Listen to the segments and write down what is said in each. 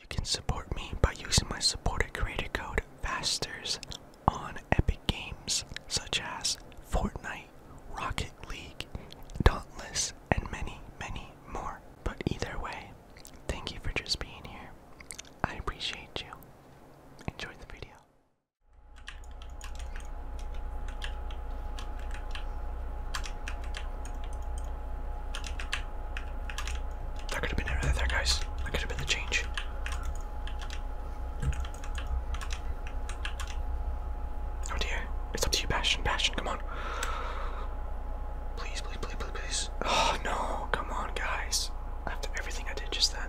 You can support me by using my supporter creator code FASTERS on Epic Games such as Fortnite, Rocket League, Dauntless, and many, many more. But either way, thank you for just being here. I appreciate you. Enjoy the video. That could have been it right there, guys. That could have been the change. Oh dear. It's up to you, passion, passion. come on. please, please, please, please. Oh no, come on, guys. After everything I did just then.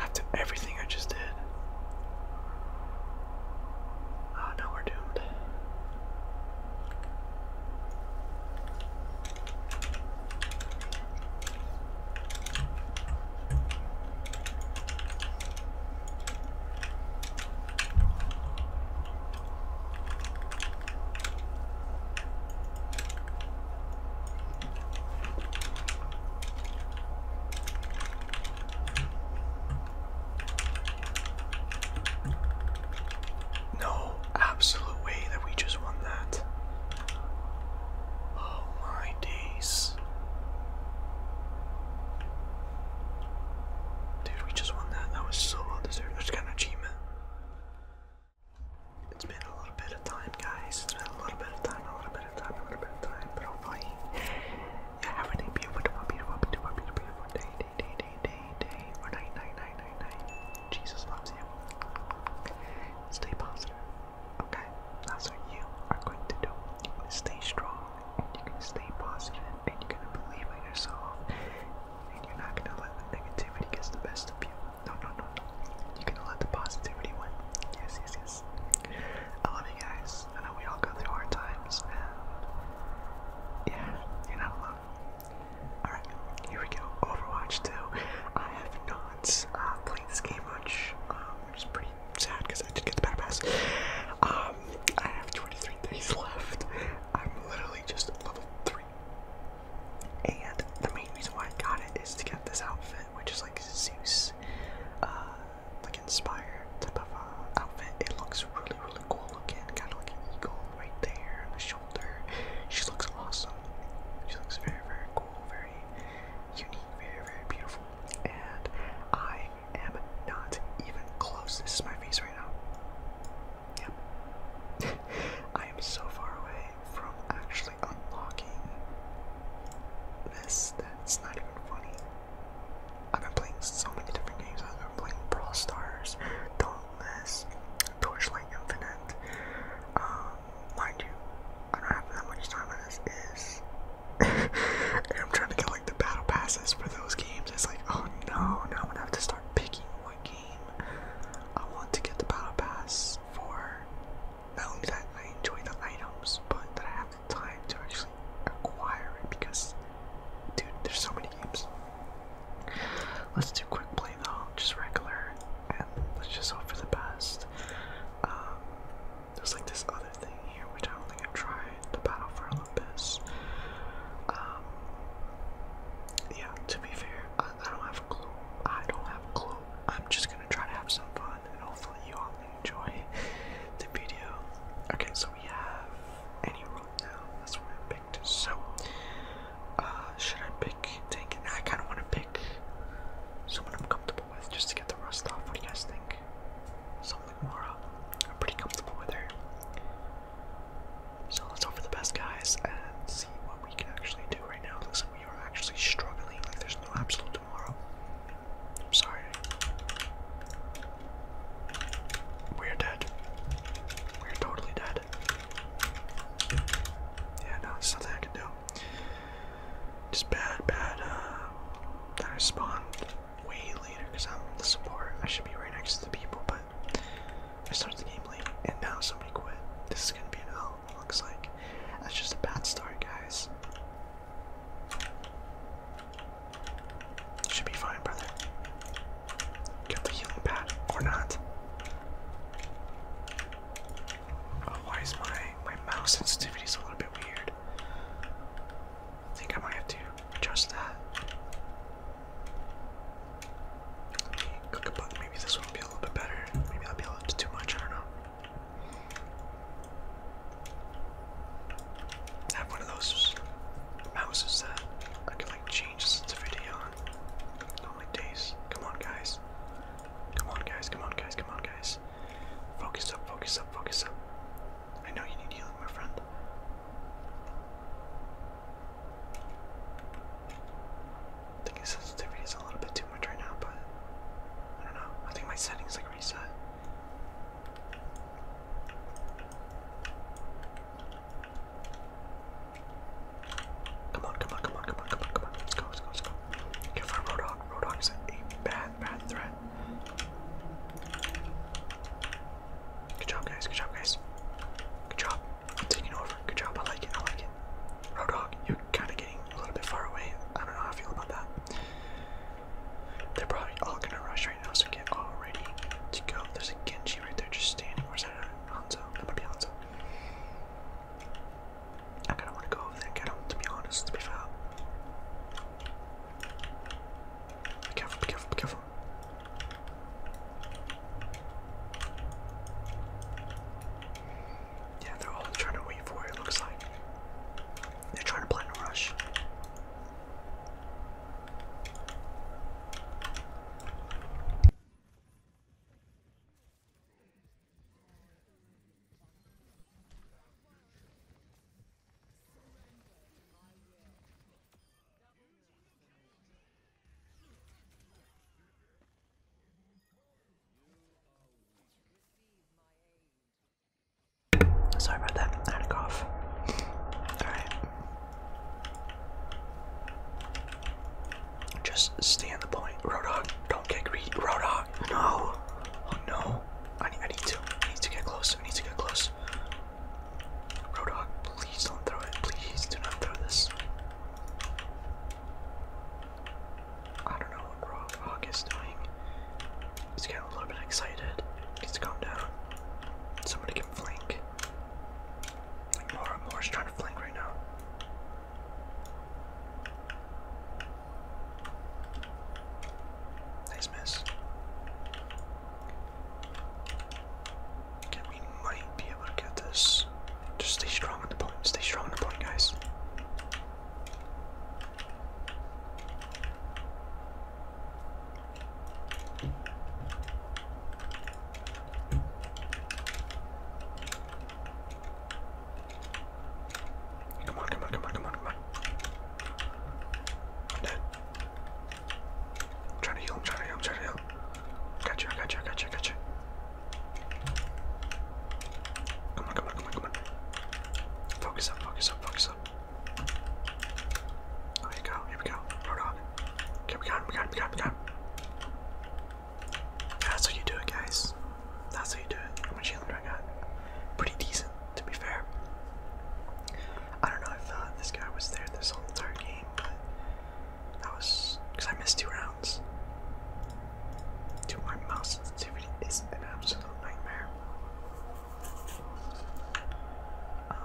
After everything I just did. Oh ah, no, we're doomed. No absolute way that we just won that. Oh my days. Dude, we just won that. That was so well deserved. There's got achievement. It's been a little bit of time, guys. It's been a little bit of time, a little bit of time, a little bit of time. But hopefully, you're having a beautiful, beautiful, beautiful, beautiful day, day, day, day, day, day, or night, night, night, night, night. Jesus loves you. Stay positive, okay? That's what you are going to do. You're going to stay strong, and you're going to stay positive, and you're going to believe in yourself, and you're not going to let the negativity get the best of you. No, no, no, no. You can let the positivity win. Yes, yes, yes. I love you guys. I know we all go through hard times, and yeah, you're not alone. Alright, here we go. Overwatch 2. I have not uh, played this game much, um, which is pretty sad because I did get the battle pass. Um, I have 23 days left. I'm literally just level 3. And the main reason why I got it is to get this outfit, which is like Zeus, uh, like inspired type of uh, outfit. It looks really, really cool looking, kind of like an eagle right there on the shoulder. She looks awesome. She looks very, very cool, very unique, very, very beautiful. And I am not even close. This is my face right now. Yep. I am so far away from actually unlocking this. That's not even funny. I've been playing so many different games. I've been playing Brawl Stars, Dauntless, Torchlight Infinite. Um, mind you, I don't have that much time on this. Is I'm trying to get like the battle passes for those games. It's like, oh no, now I'm gonna have to start picking what game I want to get the battle pass for not only that I enjoy the items, but that I have the time to actually acquire it because, dude, there's so many games. Let's do quick play though, just regular, and let's just hope for the best. Um, there's like this other thing here which I don't think I've the Battle for Olympus. Um, yeah, to be fair, I, don't have clue. I don't have a clue I'm just gonna try to have some fun and hopefully you all enjoy the video. Okay, so we have any roll now. That's what I picked. So uh should I pick take I kinda wanna pick someone I'm comfortable with just to get the rust off. What do you guys think? Something like Mara. Uh, I'm pretty comfortable with her. So let's hope for the best guys and see what we can actually do right now. Looks like you're actually struggling, like there's no absolute tomorrow. I'm sorry. We're dead. We're totally dead. Yeah, no, there's nothing I can do. Just bad, bad, uh, that I spawned way later because I'm the support. I should be right next to the people, but I started the game late and now somebody quit. This is gonna be an L looks like. That's just a bad story, guys. Should be fine, brother. Get the healing pad or not. Oh, why is my my mouse sensitivity a little bit weird? I think I might have to adjust that. Maybe this one a little bit better. Maybe that'd be a little too much. I don't know. have one of those mouses that I can like change the video on. Normally days. Come on, guys. Come on, guys. Come on, guys. Come on, guys. Focus up. Focus up. Focus up. I know you need healing, my friend. I think his sensitivity is a little bit too much right now, but I don't know. I think my settings like reset. Come on, come on, come on, come on, come on, come on. Let's go, let's go, let's go. Get for Roadhog. Roadhog is a bad, bad threat. Good job, guys. Good job, guys. Good job taking over. Good job. I like it. I like it. Roadhog, you're kind of getting a little bit far away. I don't know how I feel about that. They're probably all gonna rush right now, so get all ready to go. There's a Genji right there just standing. Where's that at? Hanzo? That might be Hanzo. I kinda wanna go over there I get him, to be honest, to be foul. Be careful, be careful, be careful. Yeah, they're all trying to wait for it, looks like. They're trying to plan a rush. Sorry about that. I had a cough. Alright. Just stay on the point. Roadhog, don't get greedy. Roadhog, no. Oh, no. I need, to. I need to get close. I need to get close. Roadhog, please don't throw it. Please do not throw this. I don't know what Rob Hawk is doing. He's getting a little bit excited. Needs to calm down. Somebody can flank. Like Nora Moore's trying to flank right now. Nice miss. Okay, we might be able to get this. Just stay strong on the point. Stay strong on the point, guys. Come on, come on, come on, come on, come on. i trying to heal, i trying to heal, i trying to heal. Gotcha, I gotcha, I gotcha, I gotcha. Come on, come on, come on, come on. Focus up, focus up, focus up. Oh, here we go, here we go. Hold on. Okay, we got him, we got him, we got That's how you do it, guys. That's how you do it. How much healing do I got? Pretty decent, to be fair. I don't know if thought uh, this guy was there this whole entire game, but that was because I missed two rounds sounds. Dude, my mouse sensitivity is an absolute nightmare. Um,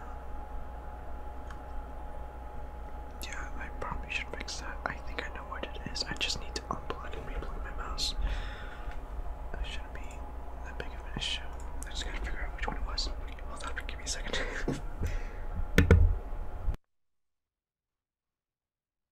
yeah, I probably should fix that. I think I know what it is. I just need to unplug and replug my mouse. That shouldn't be that big of an issue. I just gotta figure out which one it was. Hold on, give me a second.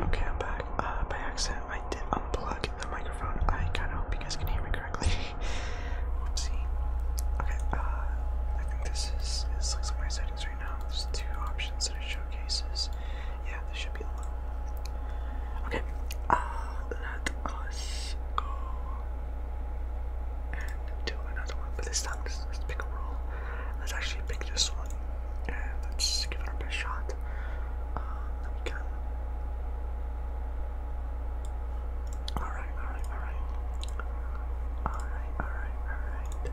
Okay, I'm back. Uh, by accident, I did unplug the microphone. I kind of hope you guys can hear me correctly. Let's Okay, uh, I think this is this looks like my settings right now. There's two options that it showcases. Yeah, this should be the Okay, uh, let us go and do another one. But this time, let's, let's pick a roll. Let's actually pick this one and let's give it a best shot. Um, we can Alright, alright, alright. Alright, alright, alright.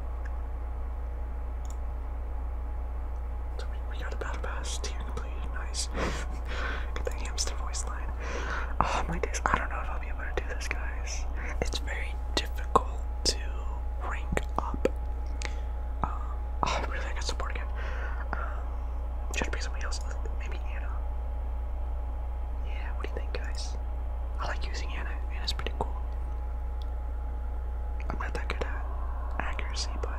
So we, got a battle pass tier Nice. Get the hamster voice line. Oh my days, I don't know if I'll be able to do this, guys. It's very difficult to rank up. Um, oh, really, I got support again. Um, should be somebody else. Maybe Anna. Yeah, what do you think, guys? I like using Anna. Anna's pretty cool. I'm not that good at accuracy, but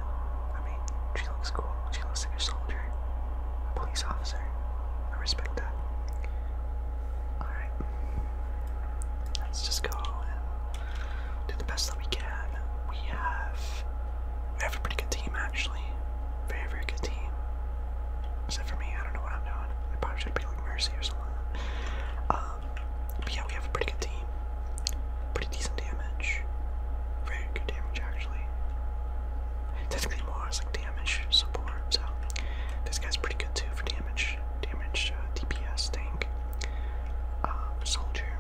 I mean, she looks cool. She looks like a soldier, a police officer. I respect that. Alright. Let's just go and do the best that we can. We have. We have a pretty good team, actually. Very, very good team. Except for me, I don't know what I'm doing. I probably should be like Mercy or something. Um, but yeah, we have a pretty good team. Pretty decent damage. Very good damage, actually. Technically more as like damage support, so this guy's pretty good too for damage. Damage, uh, DPS, tank, um, soldier.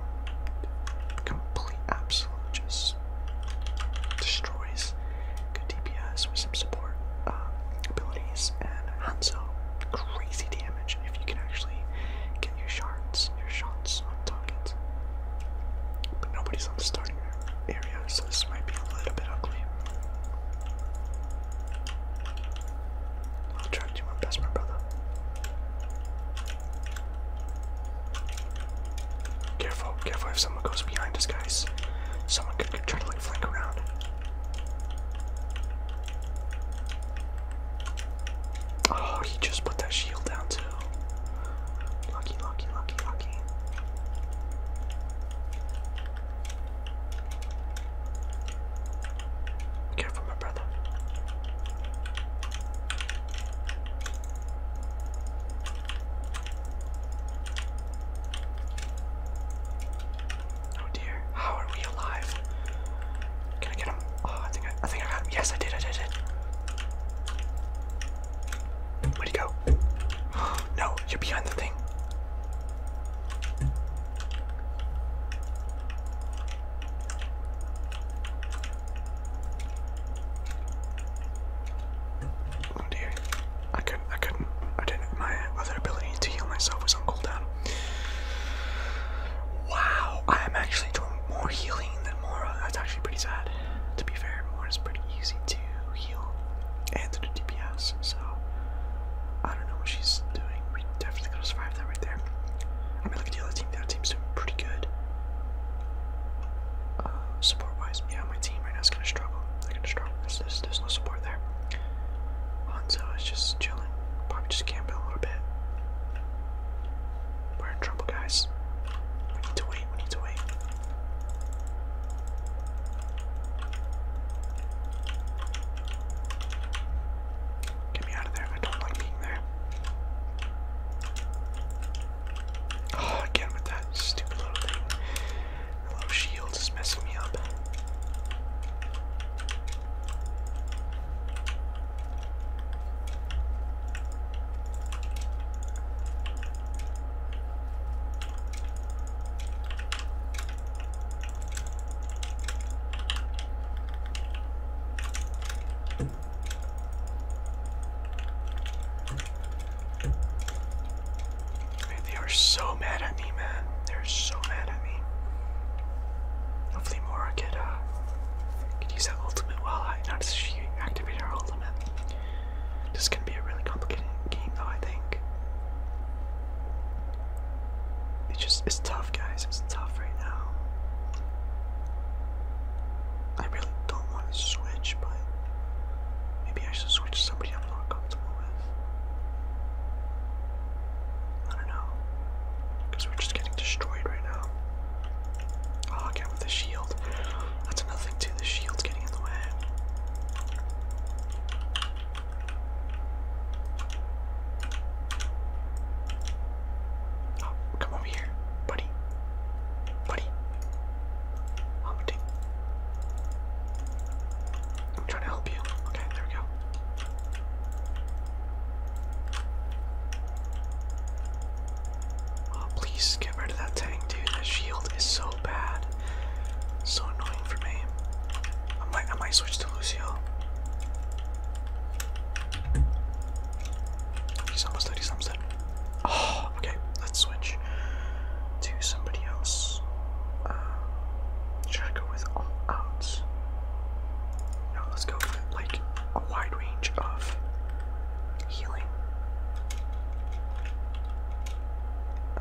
Complete, absolute, just destroys good DPS with some support uh, abilities and Hanzo. Crazy damage if you can actually get your shards, your shots on target. But nobody's on the starting area, so this might be a little bit ugly. I'll try to do my best, my brother. Careful, careful if someone goes behind us, guys. Someone could, try to flank around. Oh, he just put that shield down too. Lucky, lucky, lucky, lucky. Careful, my brother. Oh dear, how are we alive? Can I get him? Oh, I think I think I got him. Yes, I did. I did it. Where'd he go? No, you're behind the thing. Oh dear. I couldn't, I couldn't, I didn't, my other ability to heal myself was on cooldown. Wow, I am actually doing more healing than Mora. That's actually pretty sad. To be fair, Mora's pretty easy to heal and to DPS, so I don't know what she's doing. We definitely gotta survive that right there. I mean, look at the other team. The other team's doing pretty good. Uh, support wise, yeah, my team right now is gonna struggle. They're gonna struggle. There's, there's, there's no support there. Hanzo is just chilling. Probably just camping a little bit. We're in trouble, guys. We need to wait. We need to wait. Get me out of there. I don't like being there. Oh, again with that stupid little thing. The little shield is messing me up they are so mad at me, man. They're so mad at me. Hopefully Mora could, uh, could use that ultimate while I notice she activated her ultimate. This is gonna be a really complicated game though, I think. It's just, it's tough guys, it's tough right now. I really don't want to switch, but Maybe I should switch to somebody I'm not comfortable with. I don't know. we're just getting destroyed right now. Oh, with the shield. That's another thing the shield's getting in the way. Oh, come over here, buddy. Buddy. I'm trying to help you. Okay, there we go. Oh, please get rid of that tank, dude. That shield is so bad. So annoying for me. I might, I might switch to Lucio. He's almost dead. He's oh, okay, let's switch to somebody else. Uh, should I go with all out? No, let's go like a wide range of healing.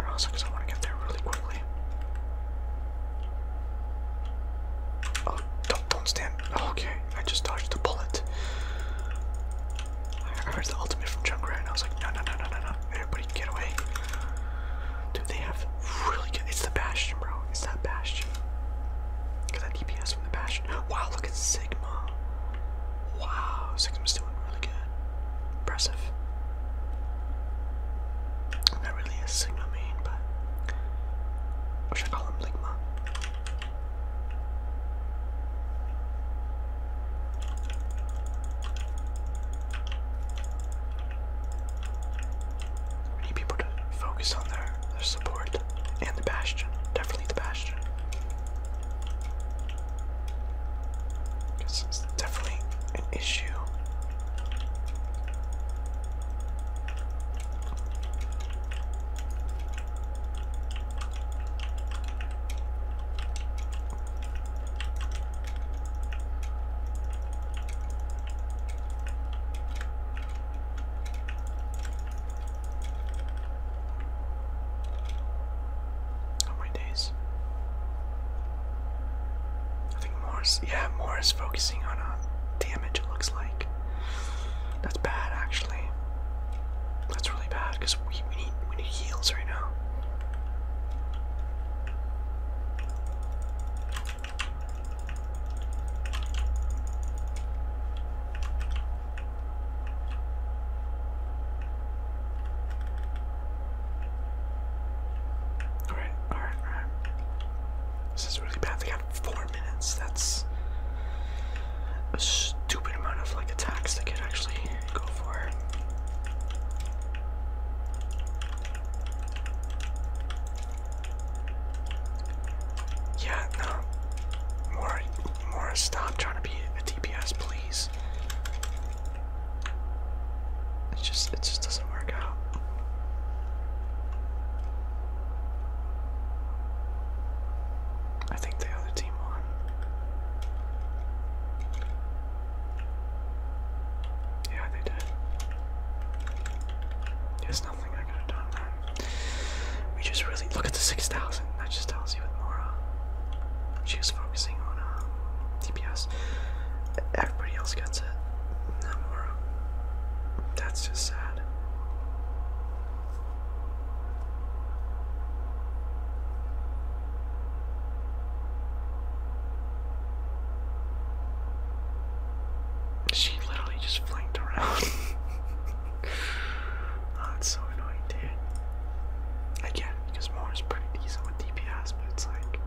also because I want to get there really quickly. Oh, don't, don't stand. okay, I just dodged a bullet. I heard the ultimate from Junkrat and I was like, no, no, no, no, no, no. Everybody get away. Dude, they have really good. It's the Bastion, bro. It's that Bastion. Get that DPS from the Bastion. Wow, look at Sigma. Wow, Sigma's doing really good. Impressive. not really a Sigma main, but. Or should call him Ligma? We need people to focus on their, their support and the bastion. Definitely the bastion. Because it's definitely an issue. Oh my days. I think Morris, yeah, Morris focusing on a uh, damage it looks like. That's bad actually. That's really bad because we, we need heals right now. Alright, alright, This is really bad. They got four minutes. That's a stupid amount of like attacks they could actually go for it. Yeah, no. More, more. Stop trying to be a DPS, please. It just, it just doesn't work out. I think the other team won. Yeah, they did. There's nothing I could have We just really look at the 6,000. That just tells you Mora. She was focusing on um, DPS. Everybody else gets it. Mora. That's just sad. She literally just flanked around. oh, so annoying, dude. Again, because Moore's pretty decent with DPS, but it's like.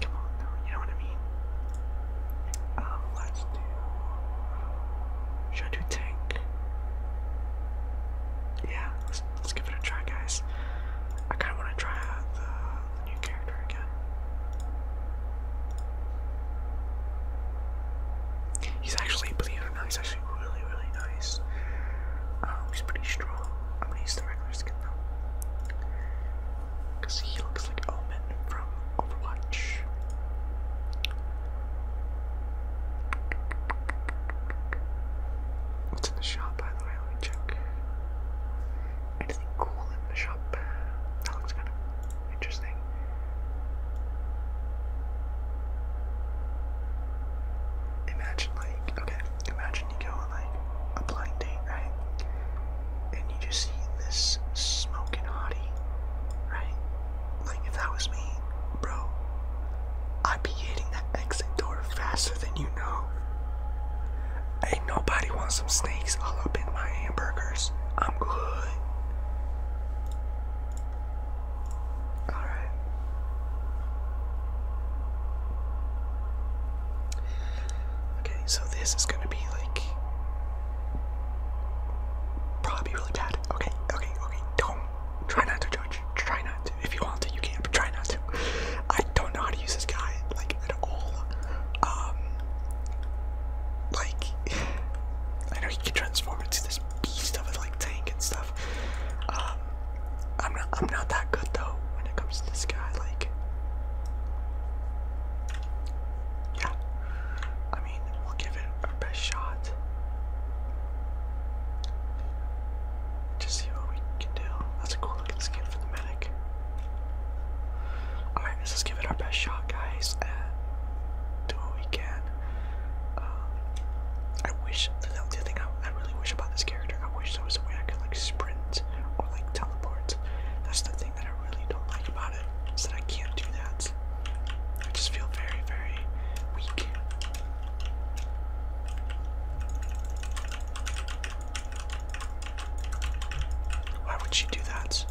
Come on, though, you know what I mean? Um, let's do. Should I do tank? Yeah, let's, let's give it a try, guys. I kind of want to try the, new character again. He's actually, believe it he's actually really, really nice. Um, he's pretty strong. I'm gonna use the regular skin though. Because he looks like Omen from Overwatch. What's in the shop, by the way? Let me check. Anything cool in the shop? That looks kind of interesting. Imagine, like, okay, imagine you go on, like, a blind date, right? And you just see this smoking hottie, right? Like, if that was me, bro, I'd be hitting that exit door faster than you know. Ain't nobody wants some snakes all up in my hamburgers. I'm good. Alright. Okay, so this is gonna be like. Probably really bad. Okay, okay, okay. Don't Try not to judge. Try not to. If you want to, you can, but try not to. I don't know how to use this guy, like, at all. Um, like, I know he can transform into this beast of a, like, tank and stuff. Um, I'm not, I'm not that good, though, when it comes to this guy, like, yeah. I mean, we'll give it our best shot. Just see what we can do. That's a cool looking skin for the medic. Alright, let's just give it our best shot, guys, and do what we can. Um, I wish, that's the thing I, I really wish about this character. I wish there was a way I could, like, sprint or, like, teleport. That's the thing that I really don't like about it, is that I can't do that. I just feel very, very weak. Why would she do that?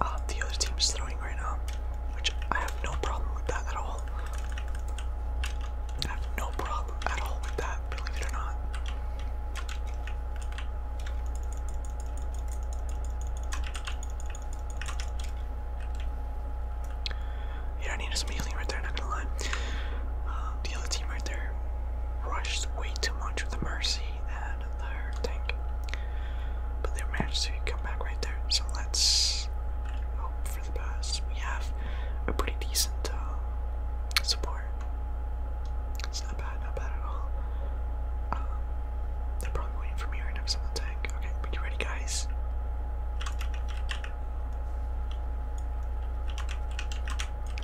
Um, the other team is throwing right now, which I have no problem with that at all. I have no problem at all with that, believe it or not. Yeah, I need some healing right there, not gonna lie. Uh, the other team right there rushed way too much with the Mercy and their tank. But they managed to come back right there, so let's hope for the best. We have a pretty decent uh, support. It's not bad, not bad at all. Um, probably waiting for me right now because the tank. Okay, are you ready, guys?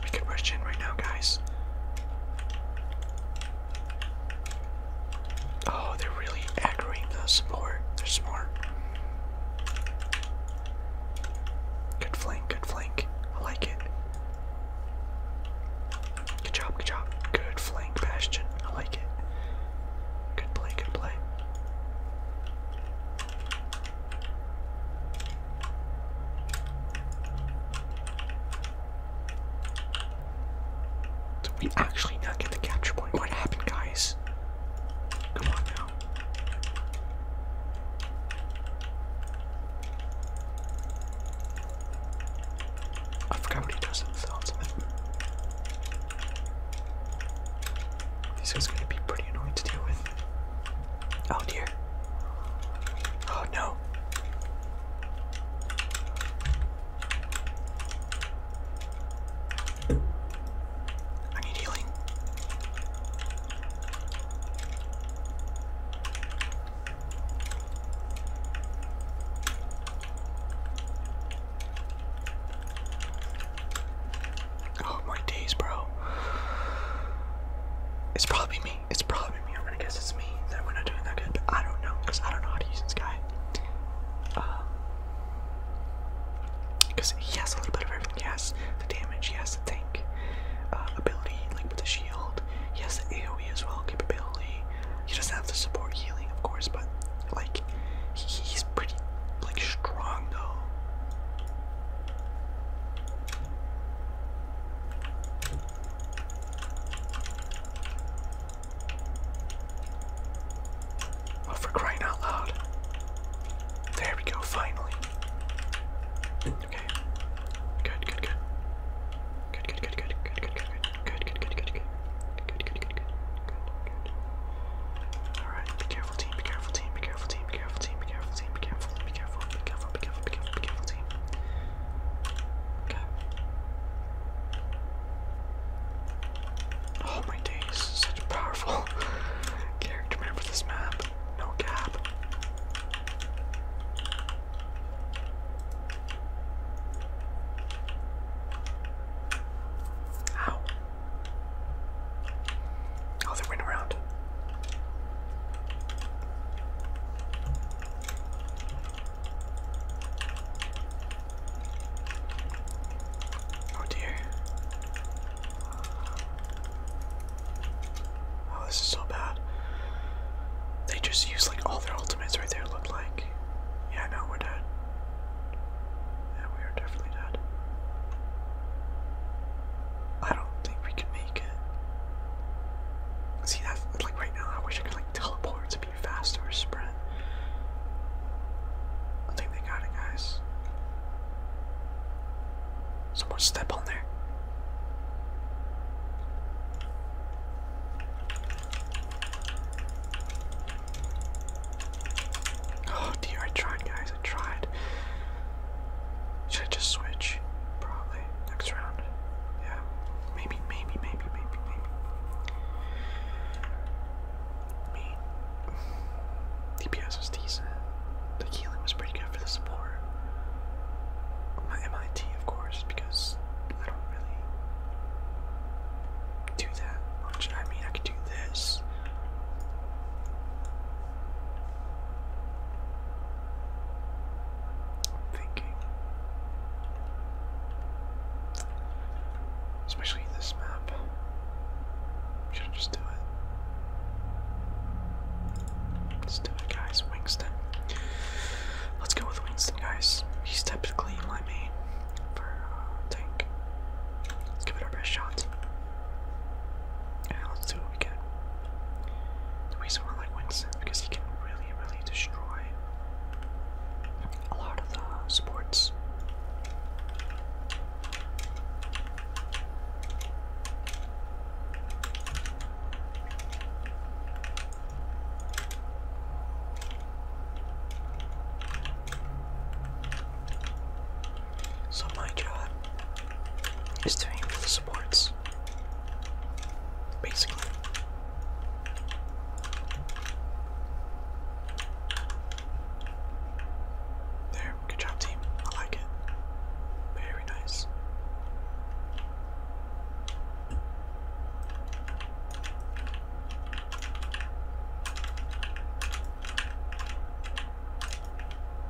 We could rush in right now, guys. Oh, they're really aggroing the support. They're smart. Good flank, good flank. I like it. Good job, good job. Good flank, Bastion. I like it. Good play, good play. Did we actually not get the capture point? What happened, guys? Come on now. I forgot what he does this is gonna be pretty annoying to deal with. Oh dear. Oh no. I need healing. Oh, my days, bro. It's probably me. It's probably me. I'm gonna guess it's me that we're not doing that good, I don't know because I don't know how to use this guy. Because uh, he has a little bit of everything. He has the damage, he has the tank uh, ability, like with the shield. He has the AoE as well capability. He does have the support healing, of course, but like he's pretty like strong though. Oh, for crying out loud. There we go, finally. Okay. good, good, good, good, good, good, good, good, good, good, good. Good, good, good, good, good, good. Alright, be careful team, be careful team, be careful team, be careful team, be careful team, be careful, be careful, be careful, be careful, be careful, be careful team. Okay. Oh my days, such a powerful character man for this map. No gap. Ow. Oh, they went around. Oh dear. Oh, this is so bad. They just used like all their ultimates right there, Look like think. Yeah, no, we're dead. Yeah, we are definitely dead. I don't think we can make it. See, that's like right now, I wish I could like teleport to be faster or sprint. I think they got it, guys. Someone step on there. Oh dear, I tried guys, I tried. Should I just switch? Probably. Next round. Yeah. Maybe, maybe, maybe, maybe, maybe. Me. DPS was decent. The healing was pretty good for the support. My MIT, of course, because I don't really do that I mean, I can do this. I'm thinking. Especially this map. Should just do it? Let's do it, guys. Wingston. Let's go with Winston, guys. He's typically my main for tank. Uh, let's give it our best shot. And let's see what we get. The reason why I like Winston because he can really, really destroy a lot of the sports. So my job is to aim the supports. Basically. There, good job team. I like it. Very nice.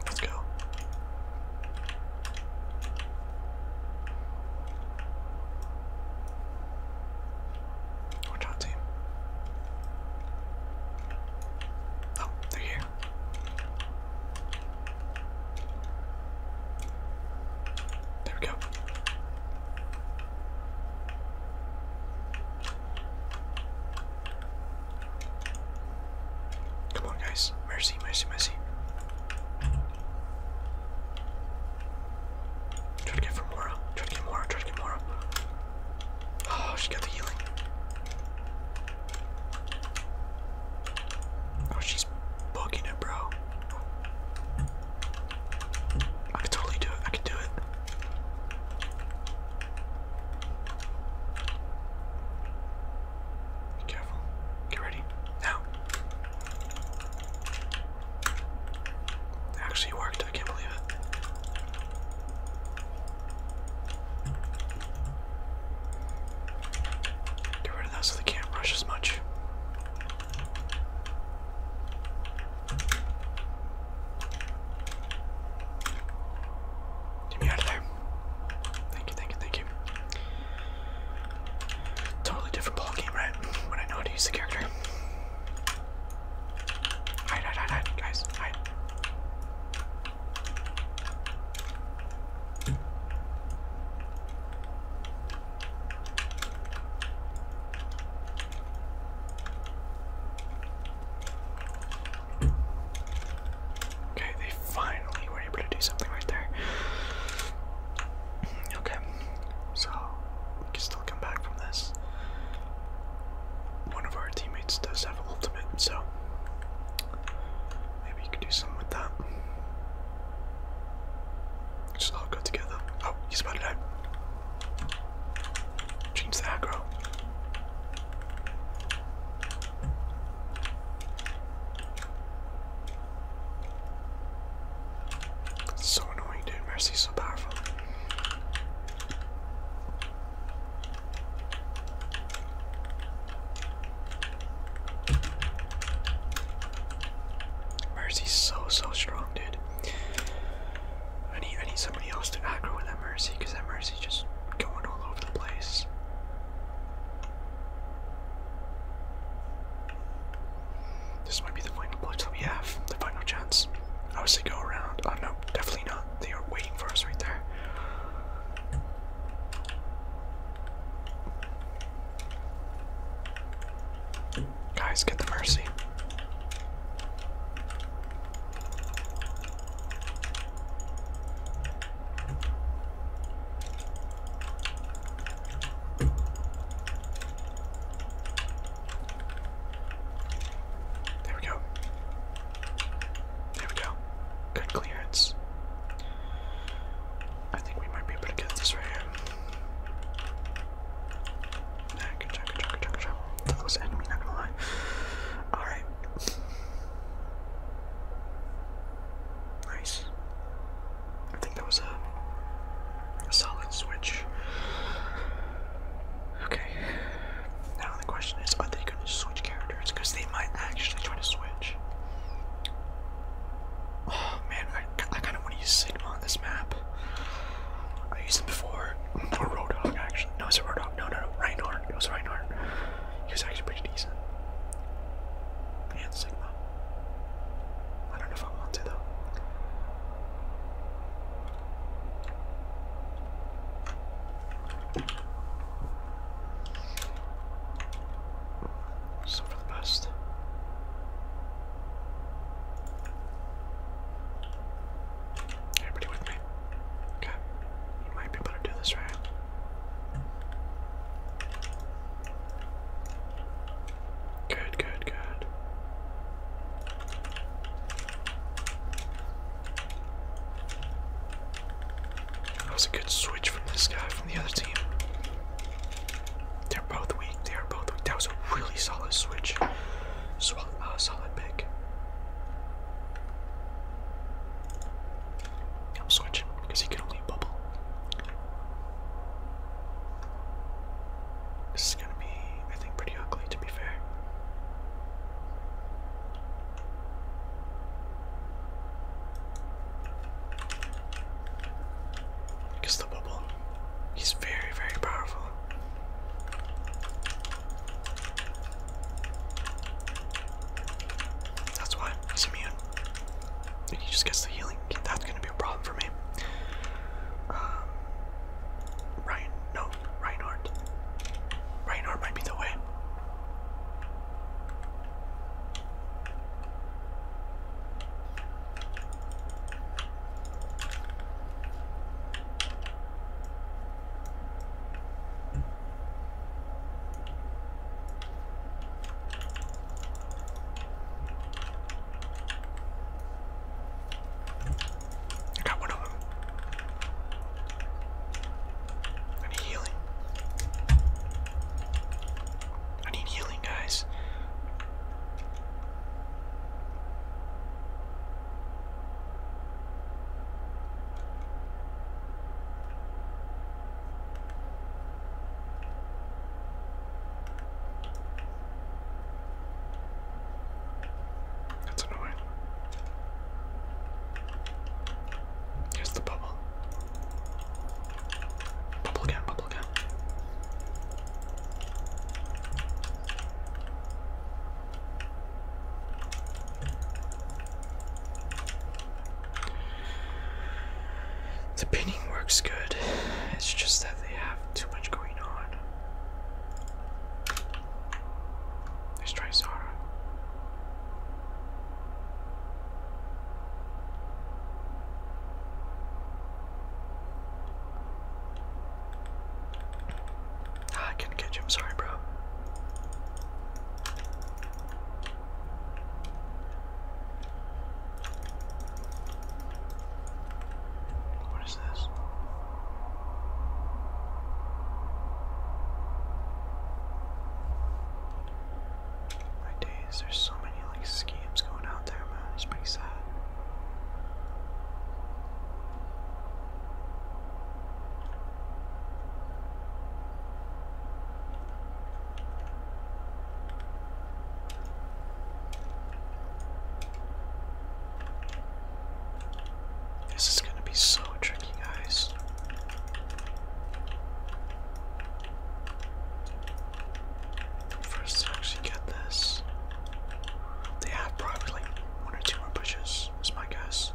Let's go. Watch out, team. Oh, they're here. There we go. Come on, guys. Mercy, mercy, mercy. Try to get for Mora. Try to get Mora. Try to get Mora. Oh, she got the healing. Oh, she's bugging it, bro. I could totally do it. I could do it. Be careful. Get ready. Now. actually worked. I can't believe it. Get rid of that so they can't rush as much. Get me out of there. Thank you, thank you, thank you. Totally different ball game, right? When I know how to use the character. Hide, hide, hide, guys, hide. Okay, they finally were able to do something right there. Okay, so we can still come back from this. One of our teammates does have ultimate, so maybe you could do something with that. Just all go together. Oh, he's about to die. Change the aggro. so annoying, dude. Mercy's so powerful. Mercy's so so strong, dude. I need I need somebody else to aggro with that mercy because that mercy is just going all over the place. This might be the final blood that we have, the final chance. I was to go around. Oh no, definitely not. They are waiting for us right there. Guys, get the mercy. There we go. There we go. Good clearance. I think we might be able to get this right here. That was enemy, not gonna lie. Alright. Nice. I think that was a, a solid switch. Okay. Now the question is are they gonna switch characters? Because they might actually try to switch. Oh man, I, I kind of want to use Sigma on this map. I used him before. Or Roadhog, actually. No, it's a Roadhog. No, no, no. Reinhardt. It was Reinhardt. He was actually pretty decent. And Sigma. I don't know if I want to, though. So for the best. Everybody with me? Okay. You might be able to do this right. Good, good, good. That was a good switch from this guy from the other team. They're both weak. They are both weak. That was a really solid switch. So uh, solid pick. I'm switching because he can only bubble. This is gonna be, I think, pretty ugly to be fair. Because the bubble, he's very, very powerful. That's why he's he just gets the healing. That's gonna be a problem for me. Um, Ryan, no, Reinhardt. Reinhardt might be the way. I got one of them. I need healing. I need healing, guys. That's annoying. Here's the bubble. Bubble again, bubble again. The pinning works good, it's just that they have too much going on. Let's try Zara. Ah, I couldn't catch him. Sorry, bro. What is this? My days, there's so many like schemes going out there, man. It's pretty sad. This is going to be so tricky, guys. First, to actually get this, they have probably one or two more pushes guess. It's my guess.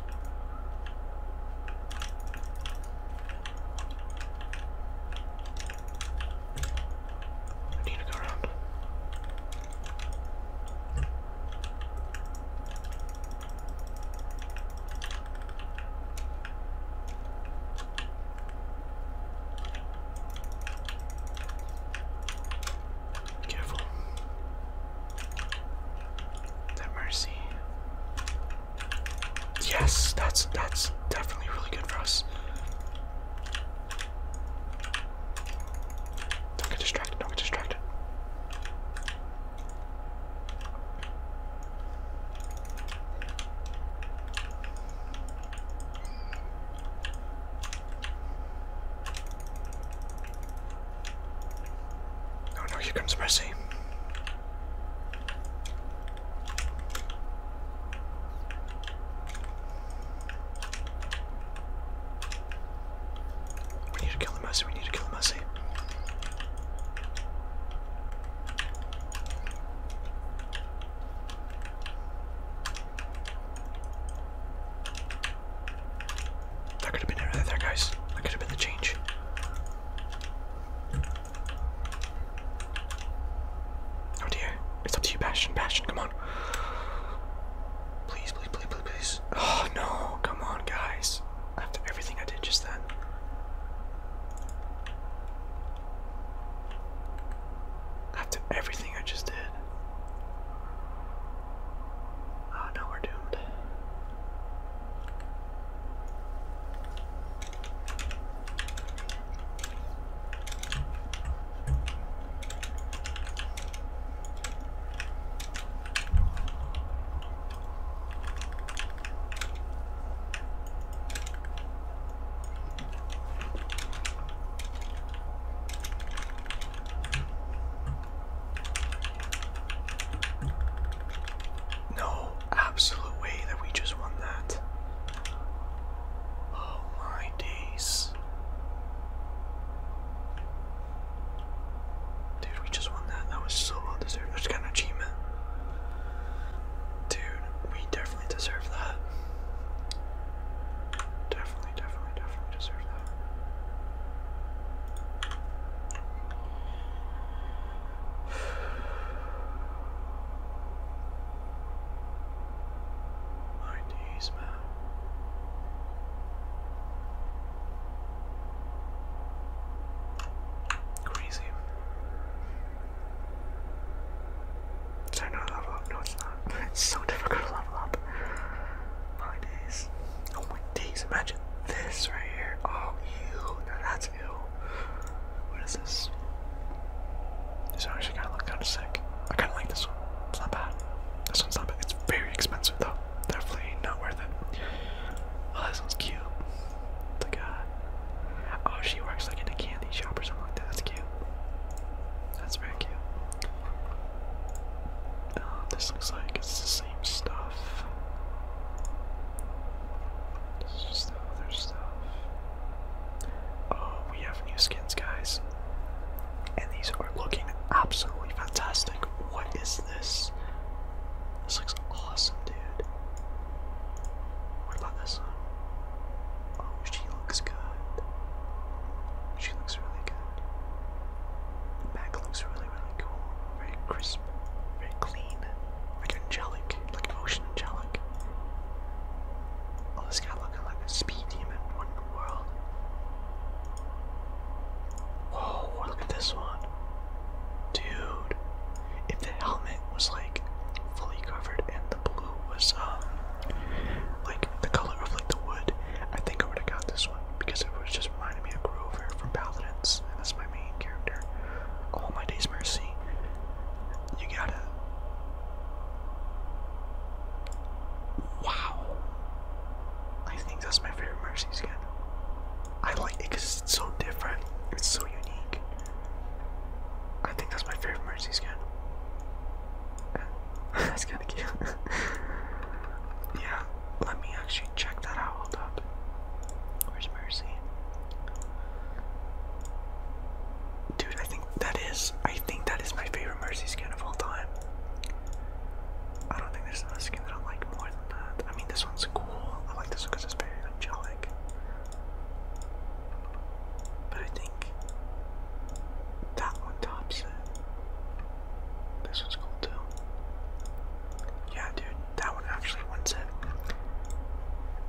need to go around. Careful. That mercy. Yes, that's that's definitely really good for us. Don't get distracted, don't get distracted. Oh no, here comes Mercy. We need to kill the Mercy, we need to kill the Mercy. That could have been it there, guys. That could have been the change. Oh dear. It's up to you, passion, passion. come on. please, please, please, please. Oh no, come on, guys. After everything I did just then. After everything I just did. Oh no, we're doomed. No absolute way that we just won that. Oh my days. Dude, we just won that. That was so well deserved. That's kind of achievement. Dude, we definitely deserve that. Definitely definitely, definitely, deserve that. My knees, man. Crazy. level up? No, it's not. It's so difficult to level up. My days. Oh my days, imagine this right here. Oh, ew. No, that's ew. What is this? This one actually kind of looks kind of sick. I kind of like this one. It's not bad. This one's not bad. It's very expensive though. Definitely not worth it. Oh, this one's cute. It's like a. Oh, she works like in a candy shop or something like that. That's cute. That's very cute. Uh, this looks like it's same stuff. just the other stuff. Oh, we have new skins, guys. And these are looking absolutely fantastic. What is this? This looks awesome, dude. What about this one? Oh, she looks good. She looks really good. back looks really really, cool. Very crisp, very clean, like angelic, like ocean angelic. Oh, this guy looking like a speed demon. What world? Whoa, look at this one. Dude, if the helmet was like fully covered and the blue was um like the color of like the wood, I think I would have got this because it was just reminding me of Grover from Paladins, and that's my main character. All my days mercy. You gotta Wow. I think that's my favorite mercy skin. I like it because it's so different. It's so unique. I think that's my favorite mercy skin. that's kinda cute. yeah, let me actually check that out. Hold up. Where's Mercy? Dude, I think that is. I think that is my favorite Mercy skin of all time. I don't think there's another skin that I like more than that. I mean, this one's cool. I like this one because it's very angelic. But I think that one tops it. This one's cool. Yeah, dude, that one actually wins it.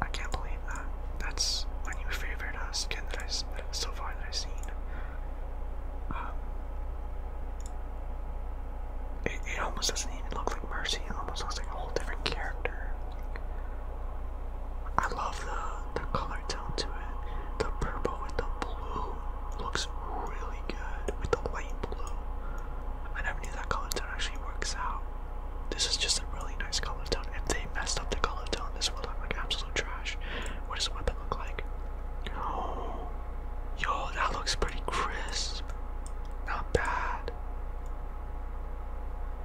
I can't believe that. That's my new favorite uh, that I so far that I've seen. Um, it, it almost doesn't even look like Mercy. It almost looks like a whole different character. I love the the color tone to it. The purple with the blue looks really good with the light blue. I never knew that color tone actually works out. This is just a really nice color tone. If they messed up the color tone, this would look like absolute trash. What does the weapon look like? yo, that looks pretty crisp. Not bad.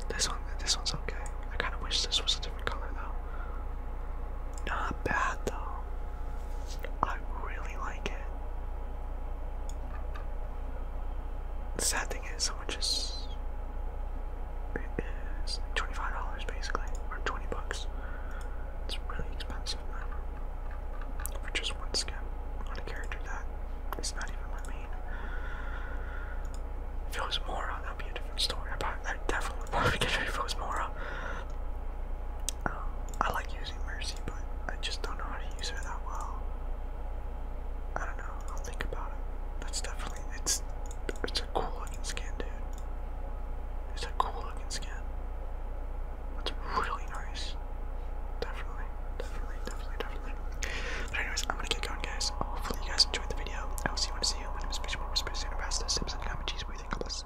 This one, this one's okay. I kind of wish this was a different color though. Not bad though. I really like it. The sad thing is, someone just. It is $25 basically, or 20 bucks. It's really expensive for just one skin on a character that is not even my main. If it was Mora, that'd be a different story. But I definitely would probably get it if it was Mora. I like using Mercy, but I just don't know how to use her that well. I don't know. I'll think about it. That's definitely it's it's a cool looking skin, dude. It's a cool looking skin. It's really nice. Definitely, definitely, definitely, definitely. But anyways, I'm gonna get going, guys. Hopefully, you guys enjoyed the video. I will see you when I see you. My name is Fishman. We're supposed to pass this. Sips and comment cheese. What do you think of this?